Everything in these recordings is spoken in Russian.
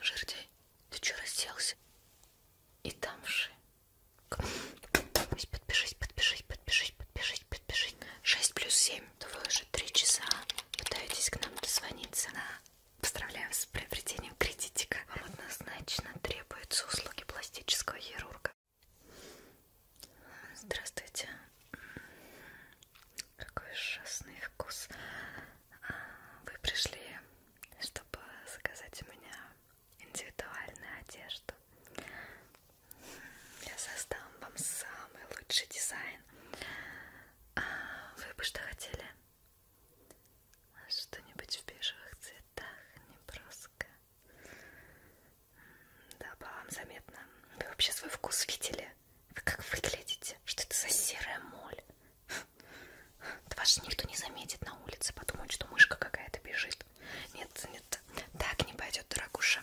Жердяй, ты что разделся? И там же. Подпишись, подпишись, подпишись, подпишись, подпишись. 6 плюс 7. Вы уже 3 часа пытаетесь к нам дозвониться. На. Поздравляю с приобретением кредитика. Вам однозначно требуются услуги пластического хирурга. Здравствуйте. Какой ужасный вкус вы пришли, чтобы заказать у меня индивидуальную одежду. Я создам вам самый лучший дизайн. А, вы бы что хотели? Что-нибудь в бежевых цветах, не броско. Да, по вам заметно. Вы вообще свой вкус видели? Вы как выглядите? Что это за серая моль? Да вас же никто не заметит на улице, подумают, что мышка какая-то бежит. Нет, нет, так не пойдет, дорогуша.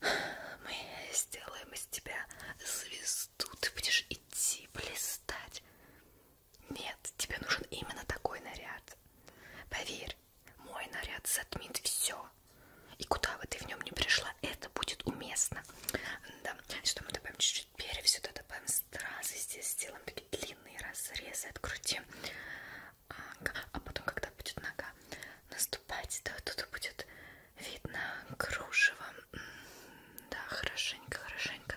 Мы сделаем из тебя звезду, ты будешь идти, блистать. Нет, тебе нужен именно такой наряд. Поверь, мой наряд затмит все. И куда бы ты в нем не пришла, это будет уместно. Да, что мы добавим чуть-чуть Теперь все это добавим стразы. Здесь сделаем такие длинные разрезы от груди. А потом, когда будет нога наступать, да, тут будет видно кружево. Да, хорошенько, хорошенько.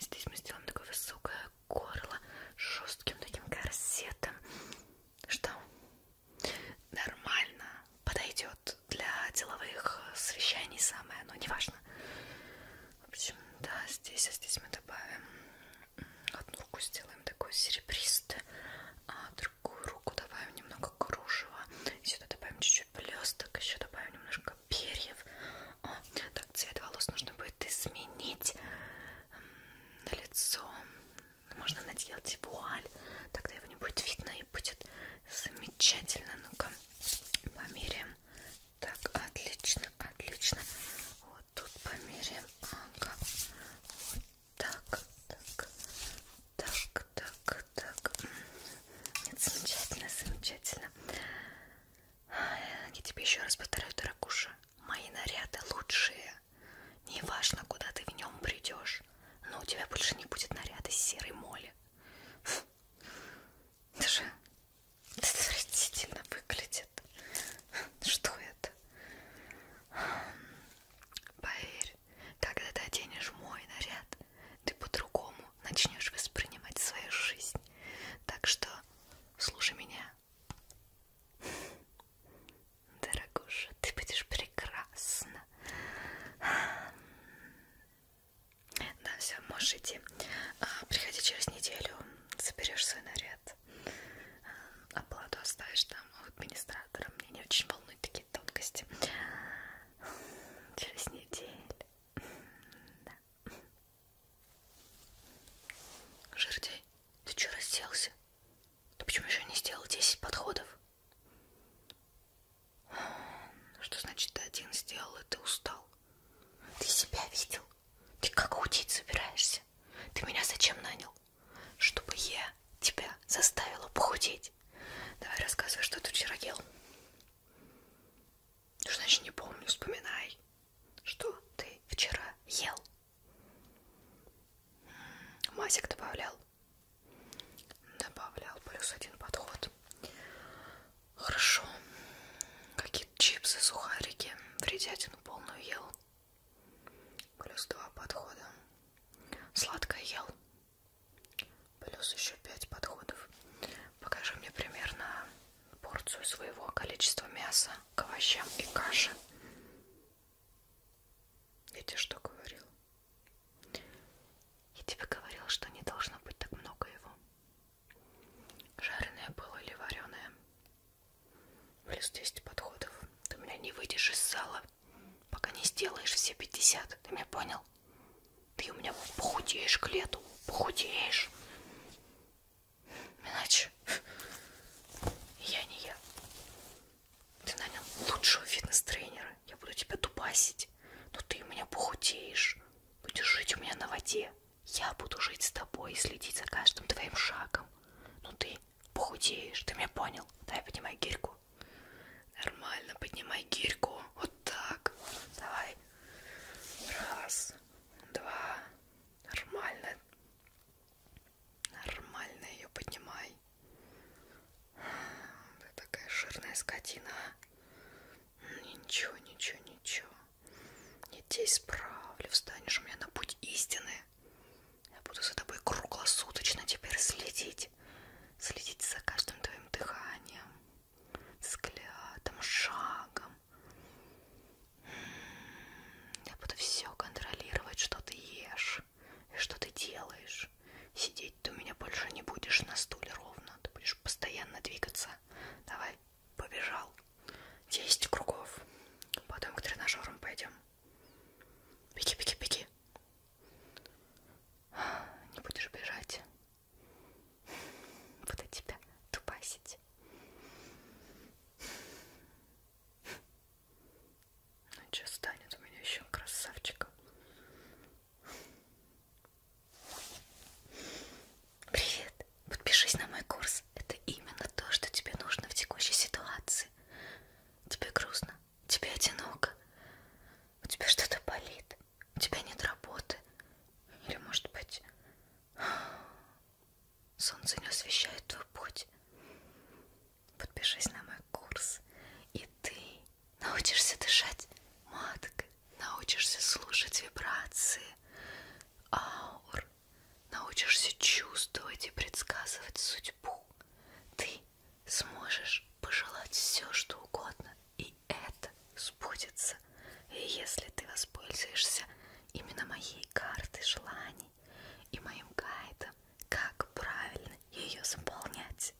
Здесь мы сделаем такое высокое горло с жестким таким корсетом. Что? Нормально подойдет вот для деловых э, совещаний самое, но неважно. В общем, да, здесь, а здесь мы добавим одну руку сделаем такой серебристый, а другую руку добавим немного кружева, и сюда добавим чуть-чуть блесток, еще добавим немножко перьев. О, так цвет волос нужно будет изменить на лицо. Можно наделать вуаль, тогда его не будет видно и будет замечательно. Ну-ка, померяем. Так, отлично, отлично. Вот тут померяем. Ага. Вот так, так, так, так, так. Нет, замечательно, замечательно. Я тебе еще раз повторяю, дорогуша, мои наряды лучшие. Не важно, куда ты в нем придешь, но у тебя больше не будет наряда серой моли. Даже отвратительно выглядит. Что это? Поверь, когда ты оденешь мой наряд, ты по-другому начнешь воспринимать свою жизнь. Так что слушай меня. Дорогуша, ты будешь прекрасна. Да, все, можешь идти. А, приходи через неделю, соберешь свой наряд. А, оплату оставишь там у администратора. Мне не очень волнуют такие тонкости. Через неделю. Да. Жердяй, ты что расселся? Ты почему еще не сделал 10 подходов? Что значит ты один сделал, и ты устал? Ты себя видел? Ты как худеть собираешься? Ты меня зачем нанял? Чтобы я тебя заставила похудеть. Давай рассказывай, что ты вчера ел. Что значит не помню, вспоминай. Что ты вчера ел? Масик добавлял. Добавлял плюс один подход. Хорошо. Какие-то чипсы, сухарики. Вредятину полную ел. Плюс два подхода. Сладкое ел. Плюс еще пять подходов. Покажи мне примерно порцию своего количества мяса к овощам и каши. Я тебе что говорил? Я тебе говорила, что не должно быть так много его. Жареное было или вареное? Плюс 10 подходов. Ты меня не выйдешь из зала, пока не сделаешь все 50. Ты меня понял? Ты у меня похудеешь к лету. Похудеешь. Иначе я не я. Ты нанял лучшего фитнес-тренера. Я буду тебя дубасить. Но ты у меня похудеешь. Будешь жить у меня на воде. Я буду жить с тобой и следить за каждым твоим шагом. Ну ты похудеешь, ты меня понял? Давай поднимай гирьку. Нормально, поднимай гирьку. Вот так. Давай. Раз, два. Нормально. Нормально ее поднимай. Ты такая жирная скотина. Ничего, ничего, ничего. Не тебя исправлю, встанешь у меня на путь истины. Я буду за тобой круглосуточно теперь следить. Следить за каждым твоим дыханием, взглядом, шагом. М-м-м. Я буду все контролировать, что ты ешь и что ты делаешь. Сидеть ты у меня больше не будешь на стуле ровно. Ты будешь постоянно двигаться. Давай, побежал. Десять кругов. Потом к тренажерам пойдем. Беги, беги, беги. Не будешь бежать. Буду тебя тупасить. Ну что, станет у меня еще красавчиком. Привет! Подпишись на мой курс. Это именно то, что тебе нужно в текущей ситуации. Тебе грустно, тебе одиноко, у тебя что-то болит, у тебя нет работы. Или, может быть, солнце не освещает твой путь. Подпишись на мой курс, и ты научишься дышать маткой научишься слушать вибрации аур, научишься чувствовать и предсказывать судьбу. Ты сможешь пожелать все, что угодно, и это сбудется, если ты воспользуешься именно моей картой желаний и моим гайдом, как правильно ее заполнять.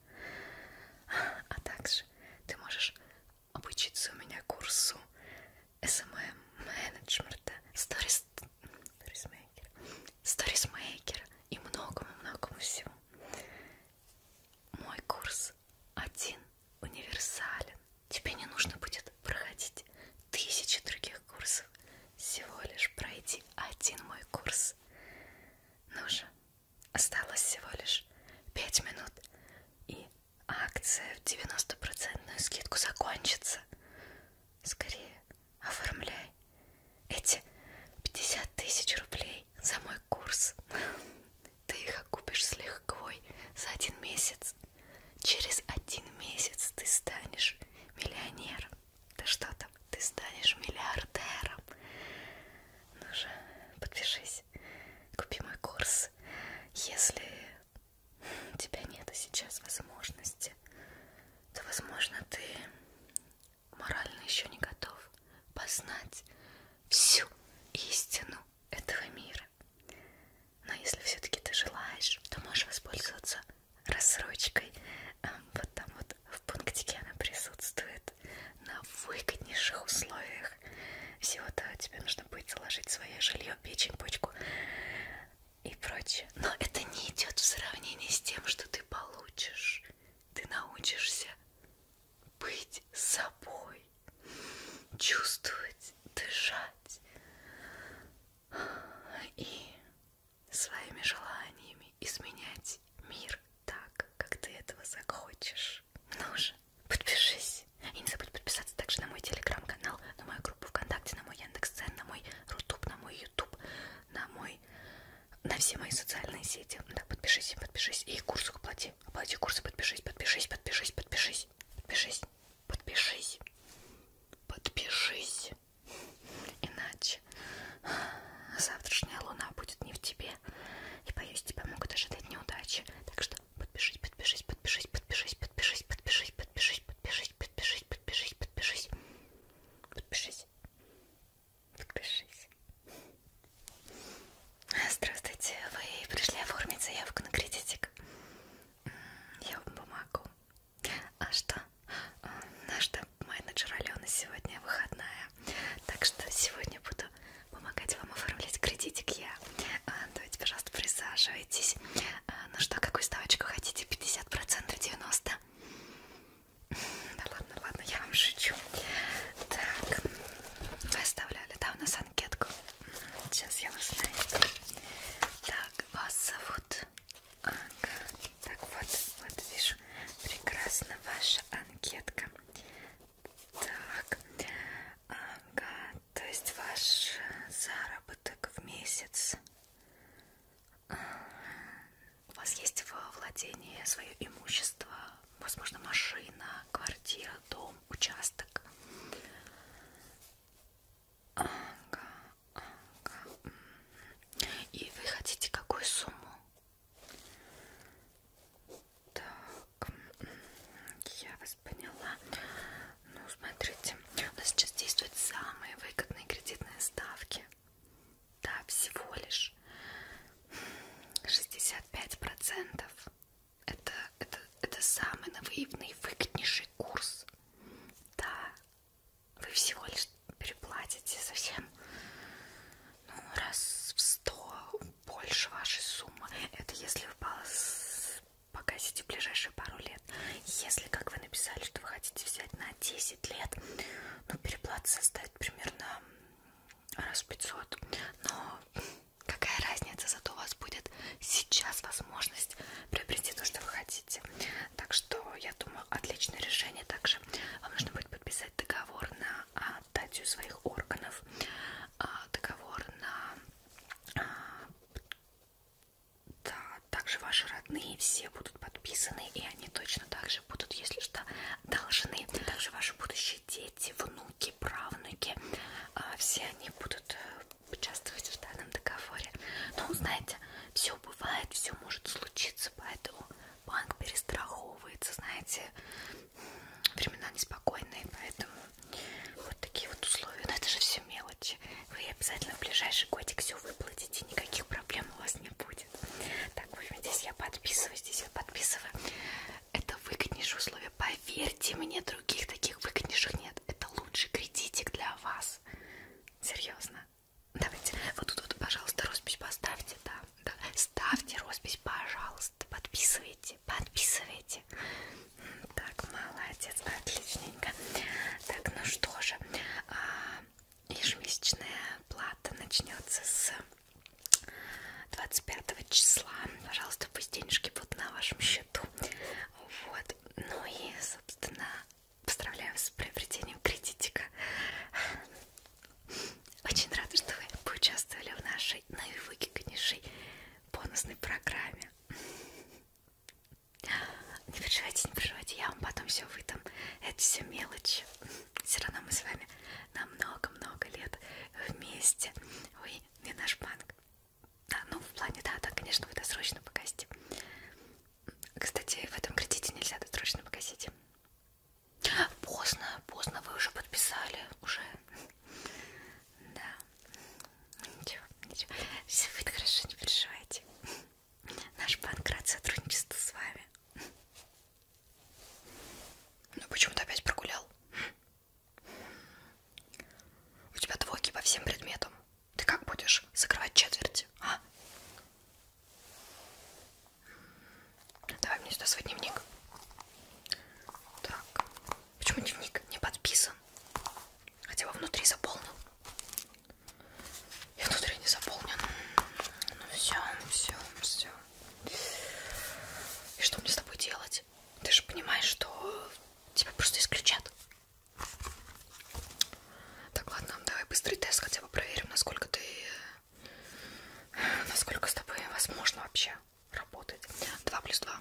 А также ты можешь обучиться у меня курсу SMM эм менеджмента, сторисмейкера, сторисмейкера и многому-многому всему. Мой курс один универсален. Тебе не нужно будет проходить тысячи других курсов. Всего лишь пройти один мой курс. Ну же, осталось всего лишь пять минут, и Акция в 90% скидку закончится. Скорее оформляй эти 50 тысяч рублей за мой курс. Ты их окупишь с лихвой за один месяц. Через один месяц ты станешь миллионером. Да что там, ты станешь миллиардером. Ну же, подпишись купи мой курс. Если у тебя нет сейчас возможности, то, возможно, ты морально еще не готов познать всю истину этого мира. Но если все-таки ты желаешь, то можешь воспользоваться рассрочкой. Вот там вот в пунктике она присутствует на выгоднейших условиях книжках. Всего-то тебе нужно будет заложить свое жилье, печень, почку и прочее. Но это не идет в сравнении с тем, что ты получишь. Ты научишься быть собой, чувствовать, дышать и своими желаниями изменять мир так, как ты этого захочешь хочешь? Ну же, подпишись. И не забудь подписаться также на мой телеграм-канал, на мою группу ВКонтакте, на мой Яндекс.Цен, на мой Рутуб, на мой Ютуб, на мой... на все мои социальные сети. Да, подпишись, подпишись. И курс оплати. Оплати курсы, подпишись, подпишись, подпишись, подпишись. Подпишись, подпишись, подпишись. Иначе завтрашняя луна будет не в тебе. И боюсь, тебя могут ожидать неудачи. Так что Подпишись, подпишись, подпишись, подпишись, подпишись, подпишись, подпишись, подпишись, подпишись, подпишись, подпишись. Подпишись. Подпишись. А, здравствуйте, вы пришли оформить заявку на кредитик. Я вам помогу. А что? А, наш менеджер Алена сегодня выходная. Так что сегодня буду помогать вам оформлять кредитик я. Давайте, пожалуйста, присаживайтесь. А, ну что, какую ставочку хотите? 50%, 90%? Да ладно, ладно, я вам шучу. Так, вы оставляли, да, у нас анкетку? Сейчас я узнаю. Так, вас зовут? Ага. Так, вот, вот вижу, прекрасно ваша анкетка. Так, ага, то есть ваш заработок в месяц. Э, у вас есть во владении свое имущество, возможно, машина, квартира, дом, участок. Ага, ага. И вы хотите какую сумму? Так, я вас поняла. Ну, смотрите, у нас сейчас действуют самые выгодные кредитные ставки. Да, всего лишь 65%. Это, это, это самый навыгодный, выгоднейший курс. Да, вы всего лишь переплатите совсем ну, раз в 100 больше вашей суммы. Это если вы погасите в ближайшие пару лет. Если, как вы написали, что вы хотите взять на 10 лет, ну, переплата составит примерно раз в 500. Но какая разница, зато у вас будет сейчас возможность приобрести то, что вы хотите. Так что, я думаю, отличное решение. Также вам нужно будет подписать договор на а, датью своих органов, а, договор на да, также ваши родные все будут подписаны, и они точно так же будут, если что, должны. Также ваши будущие дети, внуки, правнуки, а, все они будут э, участвовать в данном договоре. Но, ну, знаете, все бывает, все может случиться, поэтому банк перестраховывается, знаете, времена неспокойные, поэтому вот такие вот условия. Но это же все мелочи. Вы обязательно в ближайший годик все выплатите, никаких проблем у вас не будет. Так, в общем, здесь я подписываю, здесь я подписываю. Это выгоднейшие условия, поверьте мне, других таких выгоднейших нет. Это лучший кредитик для вас. Серьезно. Давайте, вот тут вот, пожалуйста, роспись поставьте, да, да. ставьте роспись, пожалуйста пожалуйста, подписывайте, подписывайте. Так, молодец, отличненько. Так, ну что же, а, ежемесячная плата начнется с 25 числа. Пожалуйста, пусть денежки будут на вашем счету. Вот, ну и, собственно, поздравляю вас с приобретением кредитика. Очень рада, что вы поучаствовали в нашей наивыгоднейшей бонусной программе. Не переживайте, не переживайте, я вам потом все выдам. Это все мелочи. Все равно мы с вами на много-много лет вместе. Ой, не наш банк. Да, ну в плане, да, да, конечно, вы досрочно погасите. Кстати, в этом кредите нельзя досрочно погасить. Поздно, поздно, вы уже подписали, уже. Да. Ничего, ничего. Все будет хорошо, не переживайте. Наш банк рад сотрудничеству с вами. Ну почему ты опять прогулял? У тебя двойки по всем предметам. Ты как будешь закрывать четверти, а? Давай мне сюда свой дневник. Так. Почему дневник не подписан? Хотя бы внутри заполнен. И внутри не заполнен. Ну все, ну все, ну все. И что мне с тобой делать? Ты же понимаешь, что тебя просто исключат. Так, ладно, давай быстрый тест хотя бы проверим, насколько ты... Насколько с тобой возможно вообще работать. 2 плюс 2.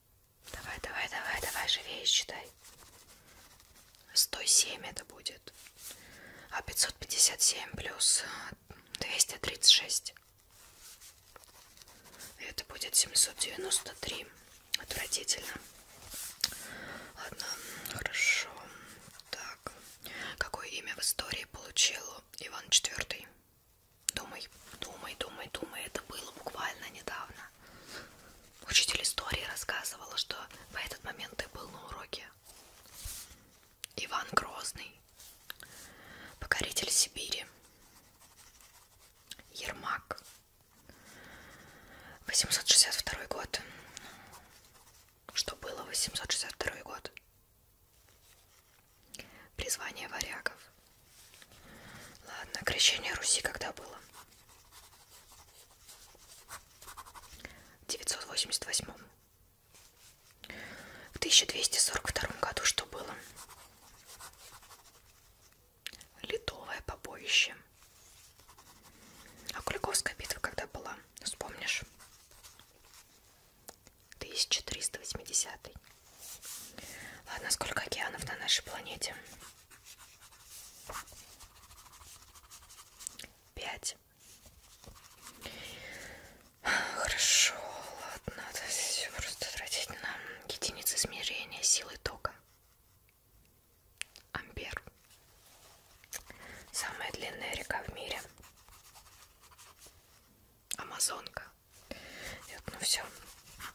Давай, давай, давай, давай, живее считай. 107 это будет. А 557 плюс 236. Э, это будет 793. Отвратительно. Ладно, хорошо. Так, какое имя в истории получил Иван IV? Думай, думай, думай, думай. Это было буквально недавно. Учитель истории рассказывала, что в этот момент ты был на уроке. Иван Грозный, покоритель Сибири, Ермак, 862 год. Что было 862 год? Призвание варягов. Ладно, крещение Руси когда было? В 988. В 1242 году что было? Литовое побоище. А Куликовская битва когда была? Вспомнишь? 1380. Ладно, сколько океанов на нашей планете? Пять. Хорошо, ладно, это все просто тратить на единицы измерения силы тока. Ампер. Самая длинная река в мире. Амазонка. Вот, ну все.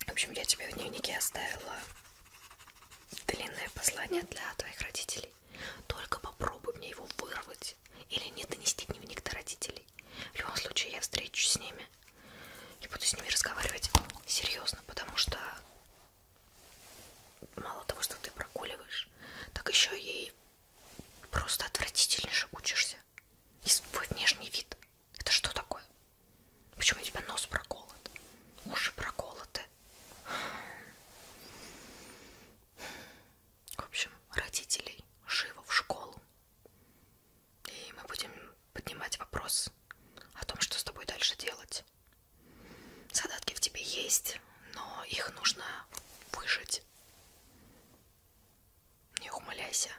В общем, я тебе в дневнике оставила длинное послание для твоих родителей. Только попробуй мне его вырвать или не донести дневник до родителей. В любом случае, я встречусь с ними и буду с ними разговаривать серьезно, потому что мало того, что ты прогуливаешь, так еще и просто отвратительнейше учишься. И свой внешний вид это что такое? Почему у тебя нос проколот? Уши проколоты? В общем, родителей живо в школу. И мы будем поднимать вопрос о том, что с тобой дальше делать. Задатки в тебе есть, но их нужно выжить. Не ухмыляйся.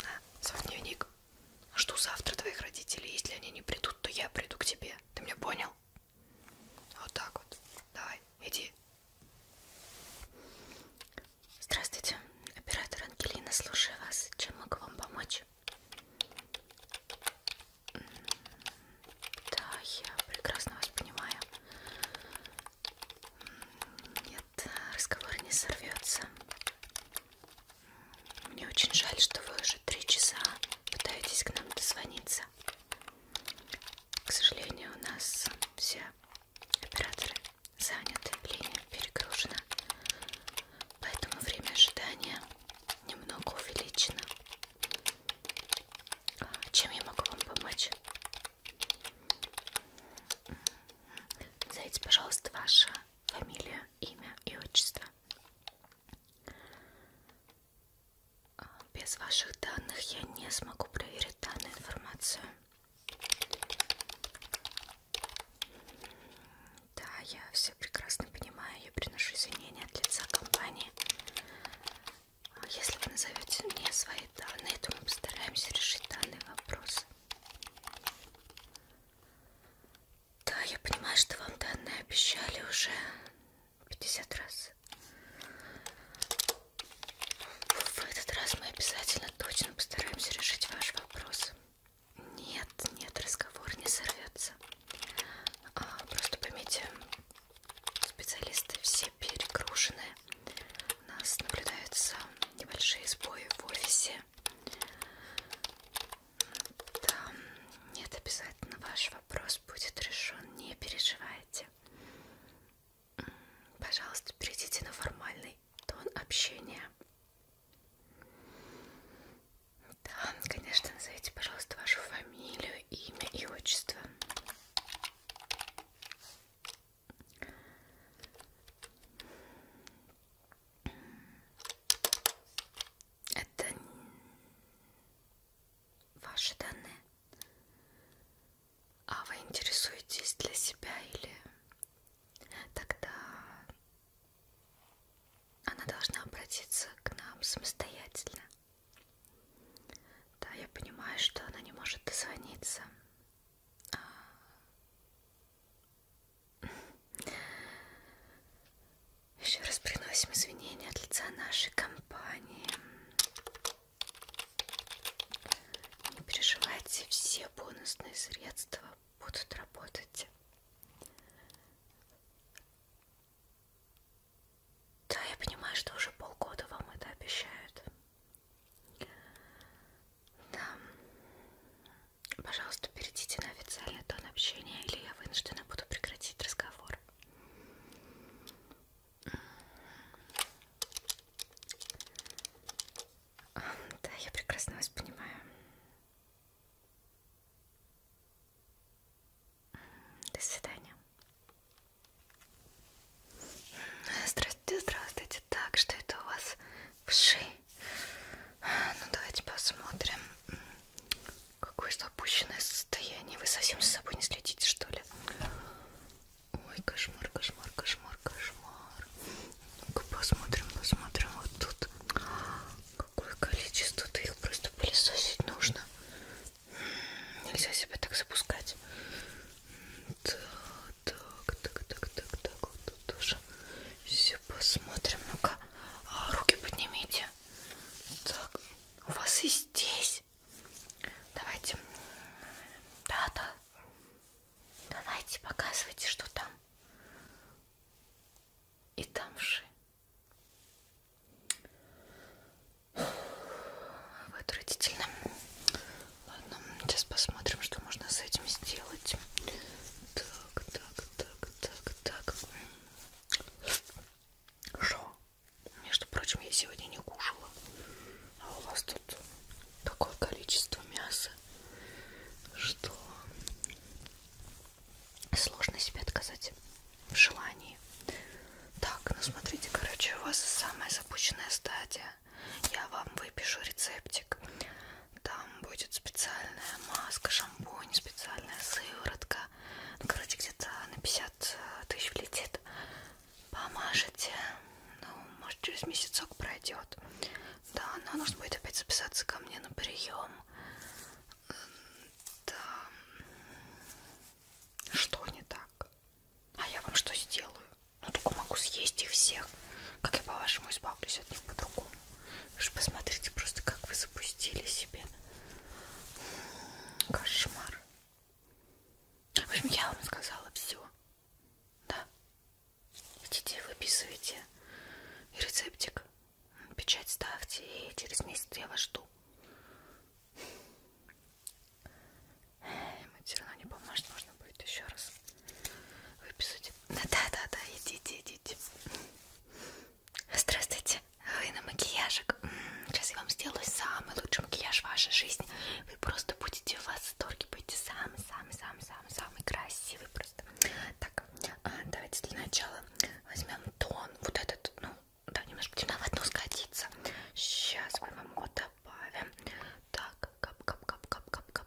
На, свой дневник. Жду завтра твоих родителей. Если они не придут, то я приду к тебе. Ты меня понял? Вот так вот. Давай, иди. Здравствуйте, оператор Ангелина, слушаю вас. Чем могу вам помочь? Да, я прекрасно вас понимаю. Нет, разговор не сорвется. Мне очень жаль, что вы уже три часа пытаетесь к нам дозвониться. К сожалению, у нас все операторы заняты, линия перегружена, поэтому время ожидания немного увеличено. Чем я могу вам помочь? Зайдите, пожалуйста, ваша фамилия имя и отчество. А, без ваших данных я не смогу проверить данную информацию. Да, я все прекрасно понимаю, я приношу извинения от лица компании. А если вы назовете мне свои данные, то мы постараемся решить данный вопрос. Да, я понимаю, что вам данные обещали уже 50 раз. В этот раз мы обязательно точно постараемся решить ваш вопрос. Нет, нет, разговор не сорвется. А, просто поймите, специалисты все перегружены. У нас наблюдаются небольшие сбои в офисе. Да, нет, обязательно ваш вопрос будет решен, не переживайте. Пожалуйста, перейдите на формальный тон общения. Да, конечно, назовите, пожалуйста, вашу фамилию, имя и отчество. Это ваши данные. А вы интересуетесь для себя или тогда она должна обратиться к нам самостоятельно? Да, я понимаю, что она не может дозвониться. А, еще раз приносим извинения от лица нашей компании. Не переживайте, все бонусные средства будут работать. Да, я понимаю, что уже полгода вам это обещают. Да. Пожалуйста, перейдите на официальный тон общения, или я вынуждена буду прекратить разговор. Да, я прекрасно вас понимаю. До свидания. Здравствуйте, здравствуйте. Так, что это у вас? Вши. Ну давайте посмотрим. Какое же опущенное состояние. Вы совсем за собой не следите, что ли? Ой, кошмар, кошмар, кошмар, кошмар. Ну-ка посмотрим, посмотрим вот тут. Какое количество-то их просто пылесосить нужно. Нельзя себя так запускать. Так, так, так, так, так, так вот тут тоже все посмотрим. Ну-ка, а, руки поднимите. Так, у вас и здесь. Давайте. Да-да. Давайте, показывайте, что там. И там же. Вы отвратительно. Ладно, сейчас посмотрим, что можно с этим сделать. Так. Так, так, так, так, так. Что? Между прочим, я сегодня не кушала. А у вас тут такое количество мяса, что сложно себе отказать в желании. Так, ну смотрите, короче, у вас самая запущенная стадия. Я вам выпишу рецептик. Там будет специальная маска, шампунь, специальная сыворотка. Ну, короче, где-то на 50 э, тысяч влетит. Помажете. Ну, может, через месяцок пройдет. Да, но нужно будет опять записаться ко мне на прием. Да. Что не так? А я вам что сделаю? Ну, только могу съесть их всех. Как я, по-вашему, избавлюсь от них по-другому? Вы же посмотрите просто, как вы запустили себе. Кошмар. В общем, я вам сказала все. Да. Идите, выписывайте и рецептик. Печать ставьте, и через месяц я вас жду. Ему все равно не поможет, можно будет еще раз выписать. Да, да, да, идите, идите. Здравствуйте, вы на макияжик. Сейчас я вам сделаю самый лучший макияж вашей жизни. Вы просто будете в восторге, будете самый-самый-самый-самый-самый красивый просто. Так, а, давайте для начала возьмем тон, вот этот, ну, да, немножко темновато сгодится. Сейчас мы вам его добавим. Так, кап кап кап кап кап кап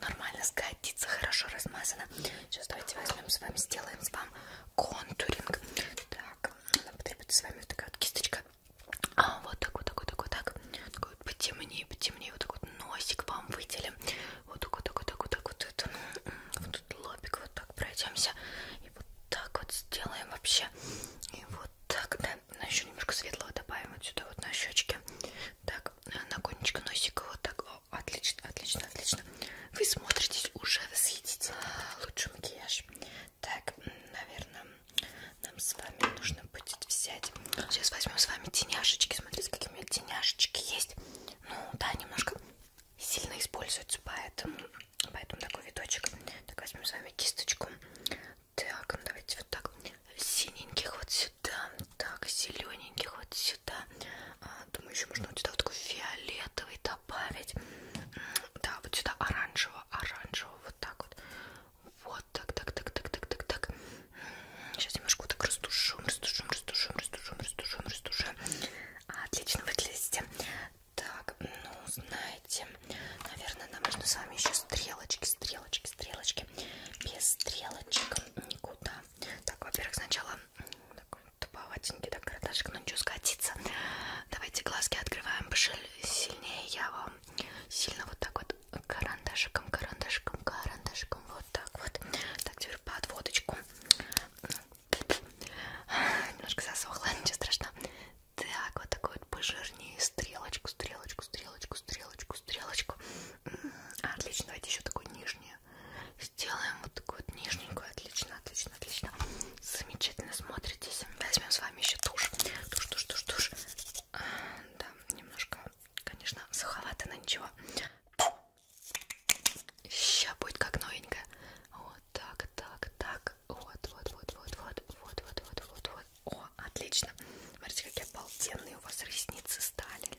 нормально сгодится, хорошо размазано. Сейчас давайте возьмем с вами, сделаем с вами контуринг. Так, нам потребуется с вами вот такая вот кисточка. А, вот так, вот так, вот так, вот так. Такой вот потемнее, потемнее. Вот такой вот носик вам выделим. Вот так, вот так, вот так, вот так, вот это. Ну, вот тут лобик, вот так пройдемся. И вот так вот сделаем вообще. И вот так, да. Но еще немножко светлого добавим вот сюда вот на щечке. Так, на конечко носика вот так. Отлично, отлично, отлично. Вы смотритесь уже восхитительно. Лучше макияж. Так, наверное, нам с вами нужно будет взять... Сейчас возьмем с вами теняшечки. Смотрите, какие у меня теняшечки есть. Ну, да, немножко сильно используются, поэтому, поэтому такой видочек. Так, возьмем с вами кисточку. Так, ну давайте вот так. Синеньких вот сюда, так, зелененьких вот сюда. А, думаю, еще можно вот сюда вот такой фиолетовый добавить. Да, вот сюда оранжево, оранжево, вот так вот. Вот так, так, так, так, так, так, так. Сейчас немножко вот так растушим, растушим, растушим, растушим, растушим, растушим. Отлично выглядите. Так, ну, знаете, наверное, нам нужно с вами еще стрелочки, стрелочки, стрелочки. Без стрелочек никуда. Так, во-первых, сначала такой вот туповатенький, так карандашик, но ничего скатится. Давайте глазки открываем сильнее. Я вам сильно вот так вот карандашиком, карандашиком, карандашиком. Вот так вот. Так, теперь подводочку. Немножко засохла, ничего страшного. Так, вот такой вот пожирнее. Стрелочку, стрелочку, стрелочку, стрелочку, стрелочку. Отлично, давайте еще такой нижний Сделаем вот такую вот нижненькую. Отлично, отлично, отлично. Замечательно смотритесь. Возьмем с вами еще тушь. Тушь, тушь, тушь, тушь. А, да, немножко, конечно, суховато, но ничего. Сейчас будет как новенькая. Вот так, так, так. Вот, вот, вот, вот, вот, вот, вот, вот, вот, вот. О, отлично. Смотрите, какие обалденные у вас ресницы стали.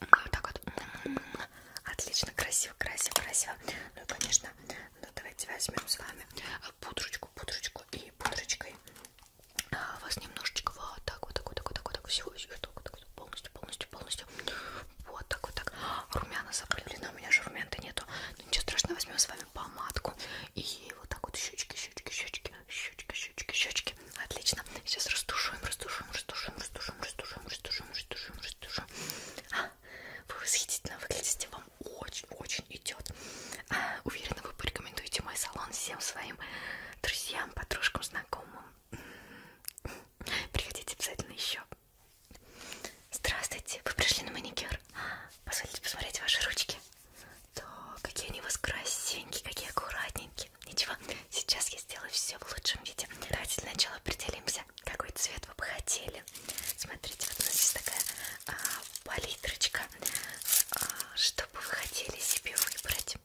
вот так вот. Отлично, красиво, красиво, красиво. Ну и, конечно, ну давайте возьмем с вами пудрочку, пудрочку и пудрочкой а, вас немножечко вот так вот, так вот, так вот, так вот, так всего, всего, так вот, так вот, полностью, полностью, полностью. Вот так вот так. А, румяна заплюлена, у меня же румян-то нету. Но ну, ничего страшного, возьмем с вами помадку и вот так вот щечки, щечки, щечки, щечки, щечки, щечки. Отлично. Сейчас растушуем, растушуем, растушуем, растушуем, растушуем, растушуем, растушуем, растушуем. А, вы восхитительно выглядите, вам очень-очень идет. А, уверена, вы порекомендуете мой салон всем своим друзьям, подружкам, знакомым. М-м-м. Приходите обязательно еще. Здравствуйте, вы пришли на маникюр. А, позвольте посмотреть ваши ручки. Да, какие они у вас красивенькие, какие аккуратненькие окей, ничего, сейчас я сделаю все в лучшем виде. Давайте для начала определимся, какой цвет вы бы хотели. Смотрите, вот у нас есть такая а, палитрочка. А, что бы вы хотели себе выбрать?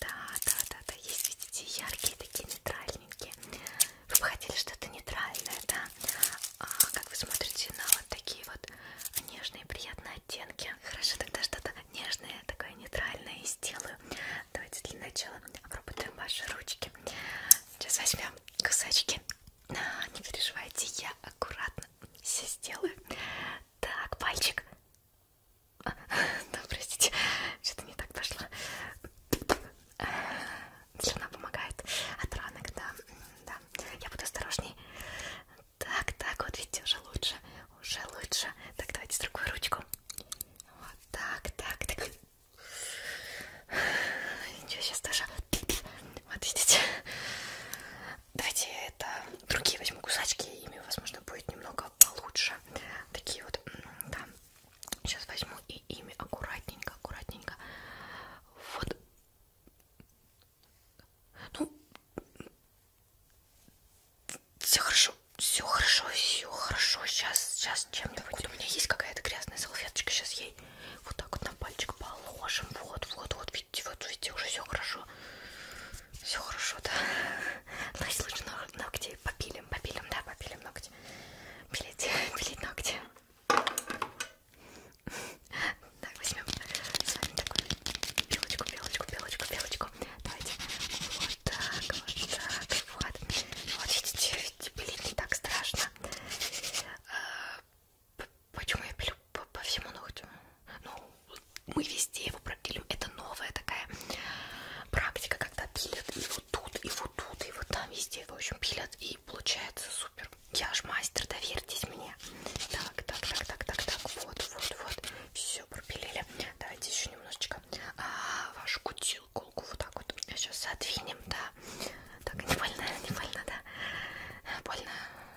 Да, да, да, да, есть, видите, яркие такие нейтральненькие. Вы бы хотели что-то нейтральное, да? А, как вы смотрите на вот такие вот нежные приятные оттенки? Хорошо, тогда что-то нежное, такое нейтральное и сделаю Давайте для начала обработаем ваши ручки. Сейчас возьмем кусочки. А, не переживайте, я аккуратно все сделаю. Так, пальчик. А, да, простите, что-то не так пошло. А, слюна помогает от ранок, да, да. Я буду осторожней. Так, так, вот видите, уже лучше, уже лучше. Так, давайте другую ручку. Вот так, так, так. Ничего, сейчас даже... Вот видите? Давайте это другие возьму кусачки, ими, возможно, будет немного получше. Такие вот, да. Сейчас возьму и ими аккуратненько, аккуратненько. Вот. Ну, все хорошо, все хорошо, все хорошо. Сейчас, сейчас чем-нибудь. У меня есть какая-то грязная салфеточка. Сейчас ей вот так вот на пальчик положим. Вот, вот, вот, видите, вот, видите, уже все хорошо. Все хорошо, да. Ну, если лучше ногти попилим, попилим, да, попилим ногти. Пилить, пилить ногти. Так, возьмем с вами такую белочку, белочку, белочку, белочку. Давайте. Вот, так, вот так, вот. Вот видите, блин, не так страшно. А, почему я пилю по, по всему ногтю? Ну, мы везде его пропилим. Это новая такая практика, когда пилят и вот тут, и вот тут, и вот там везде. В общем, пилят и получается супер. Я ж мастер, доверьтесь мне. Так, так, так, так, так, так. Вот, вот, вот. Все пропилили. Давайте еще немножечко а, вашу кутю вытащил колку вот так вот. Сейчас отвинем, да. Так, не больно, не больно, да. Больно.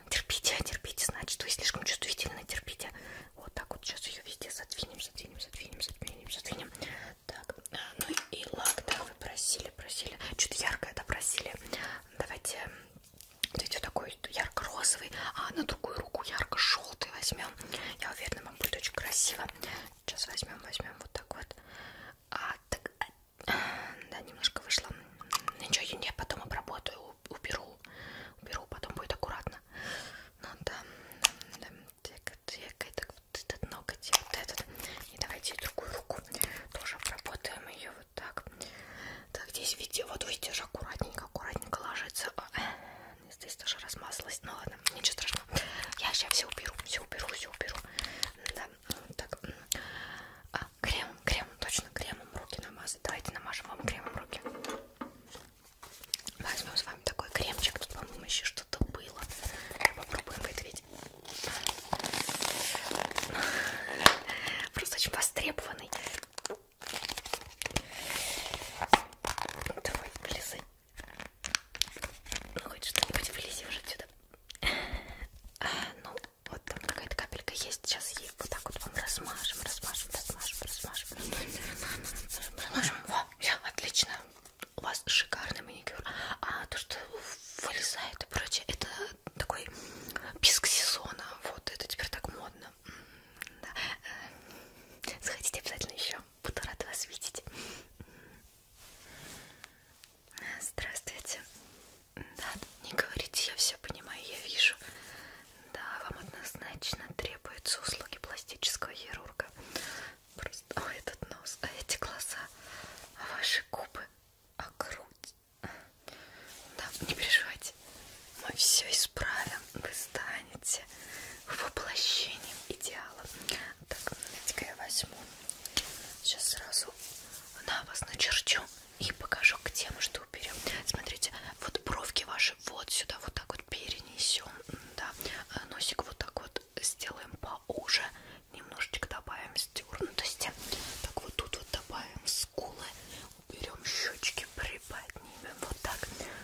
Терпите, терпите, значит, вы слишком чувствительно терпите. Вот так вот сейчас ее везде задвинем, задвинем, задвинем, задвинем, задвинем. Так, э, ну и лак, да, вы просили, просили. Что-то яркое, да, просили. Давайте вот такой ярко-розовый, а на другую руку ярко-желтый возьмем. Я уверена, вам будет очень красиво. Сейчас возьмем, возьмем вот так вот. А, так, а, да, немножко вышло. Ничего, я, я потом обработаю, уберу. Уберу, потом будет аккуратно. Ну да, да, так, так, так, вот этот ноготь, вот этот. И давайте другую руку тоже обработаем ее вот так. Так, здесь, видите, вот видите, же аккуратненько, аккуратненько ложится. Э, здесь тоже размазалась. Ну ладно, ничего страшного. Я сейчас все уберу, все уберу, все уберу. Да, так. А, кремом, кремом, точно, кремом руки намазать. Давайте намажем вам кремом руки. Возьмем с вами такой кремчик. Тут, по-моему, еще что-то было. Попробуем выдавить. Просто очень востребованный. Давай, полезай. Ну, хоть что-нибудь вылези уже отсюда. А, ну, вот там какая-то капелька есть. Сейчас ей вот так вот вам размажем, размажем, размажем, размажем. Размажем. Во, все, отлично. У вас шикарный маникюр. А то, что вылезает и прочее, это такой писк сезона. Вот, это теперь так модно. Да. Заходите э, обязательно еще буду рада вас видеть. Здравствуйте. Да, не говорите, я все понимаю, я вижу. Да, вам однозначно требуются услуги пластического хирурга. Просто, а этот нос, а эти глаза, а ваши губы, а грудь. Да, не переживайте, мы все исправим, вы станете воплощением идеала. Так, давайте-ка я возьму. Сейчас сразу на вас начерчу и покажу, где мы что уберем. Смотрите, вот бровки ваши вот сюда вот так вот перенесем. Да, э, носик вот так вот сделаем поуже. Немножечко добавим стернутости. Так, вот тут вот добавим скулы. Уберем щечки, приподнимем вот так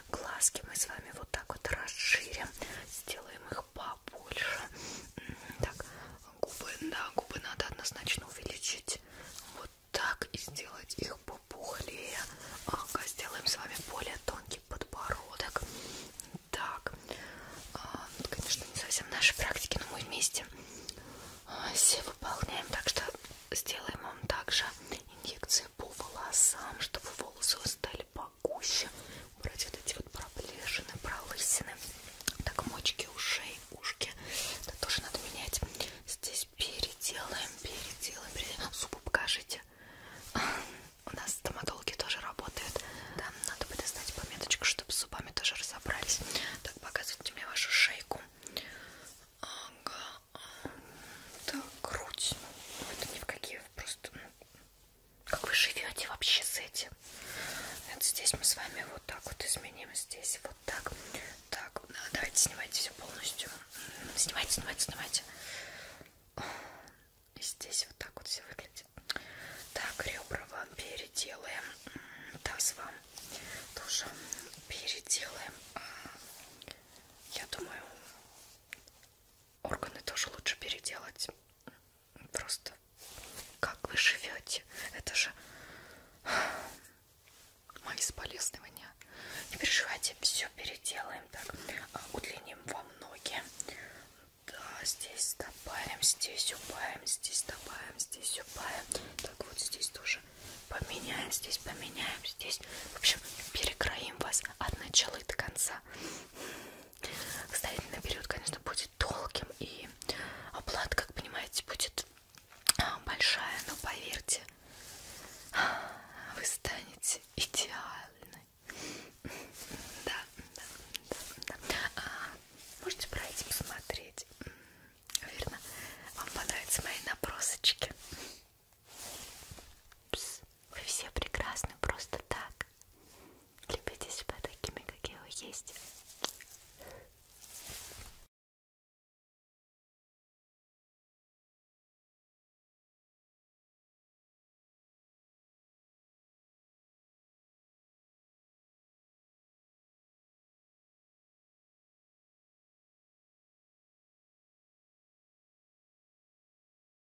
глазки мы с вами вот так вот расширим, сделаем их побольше. Так, губы, да, губы надо однозначно увеличить. Вот так и сделать их попухлее. Ага, сделаем с вами более тонкий подбородок. Так, а, ну, конечно, не совсем наши практики, но мы вместе а, все выполняем, так что сделаем вам также инъекции по волосам, чтобы волосы стали по погуще, убрать вот эти вот проплешины, пролысины, так мочки ушей, ушки, это тоже надо менять. Здесь переделаем, переделаем, переделаем. Зубы покажите. У нас стоматологи тоже работают. Да, надо бы достать пометочку, чтобы с зубами тоже разобрались. Так, показывайте мне вашу шейку. Ага. Так, грудь. Ну, это ни в какие просто ну, как вы живете вообще с этим? Вот здесь мы с вами вот так вот изменим, здесь вот так. Так, давайте снимайте все полностью. Снимайте, снимайте, снимайте. И здесь вот так вот все выглядит. Так, ребра вам переделаем. Таз вам тоже переделаем. А, я думаю, органы тоже лучше переделать. Просто как вы живете? Это же мои соболезнования. Не переживайте, все переделаем. Так, а, удлиним вам ноги. Да, здесь добавим, здесь убавим, здесь добавим, здесь убавим. Так, вот здесь тоже поменяем, здесь поменяем, здесь. В общем, перекроим вас от начала и до конца. Ставительный период, конечно, будет долгим, и оплата, как понимаете, будет а, большая, но поверьте, вы станете идеальной. Да, да, да, да. А, можете пройти посмотреть. Верно, вам понравятся мои набросочки. Пс. Вы все прекрасны просто так. Любите себя такими, какие вы есть.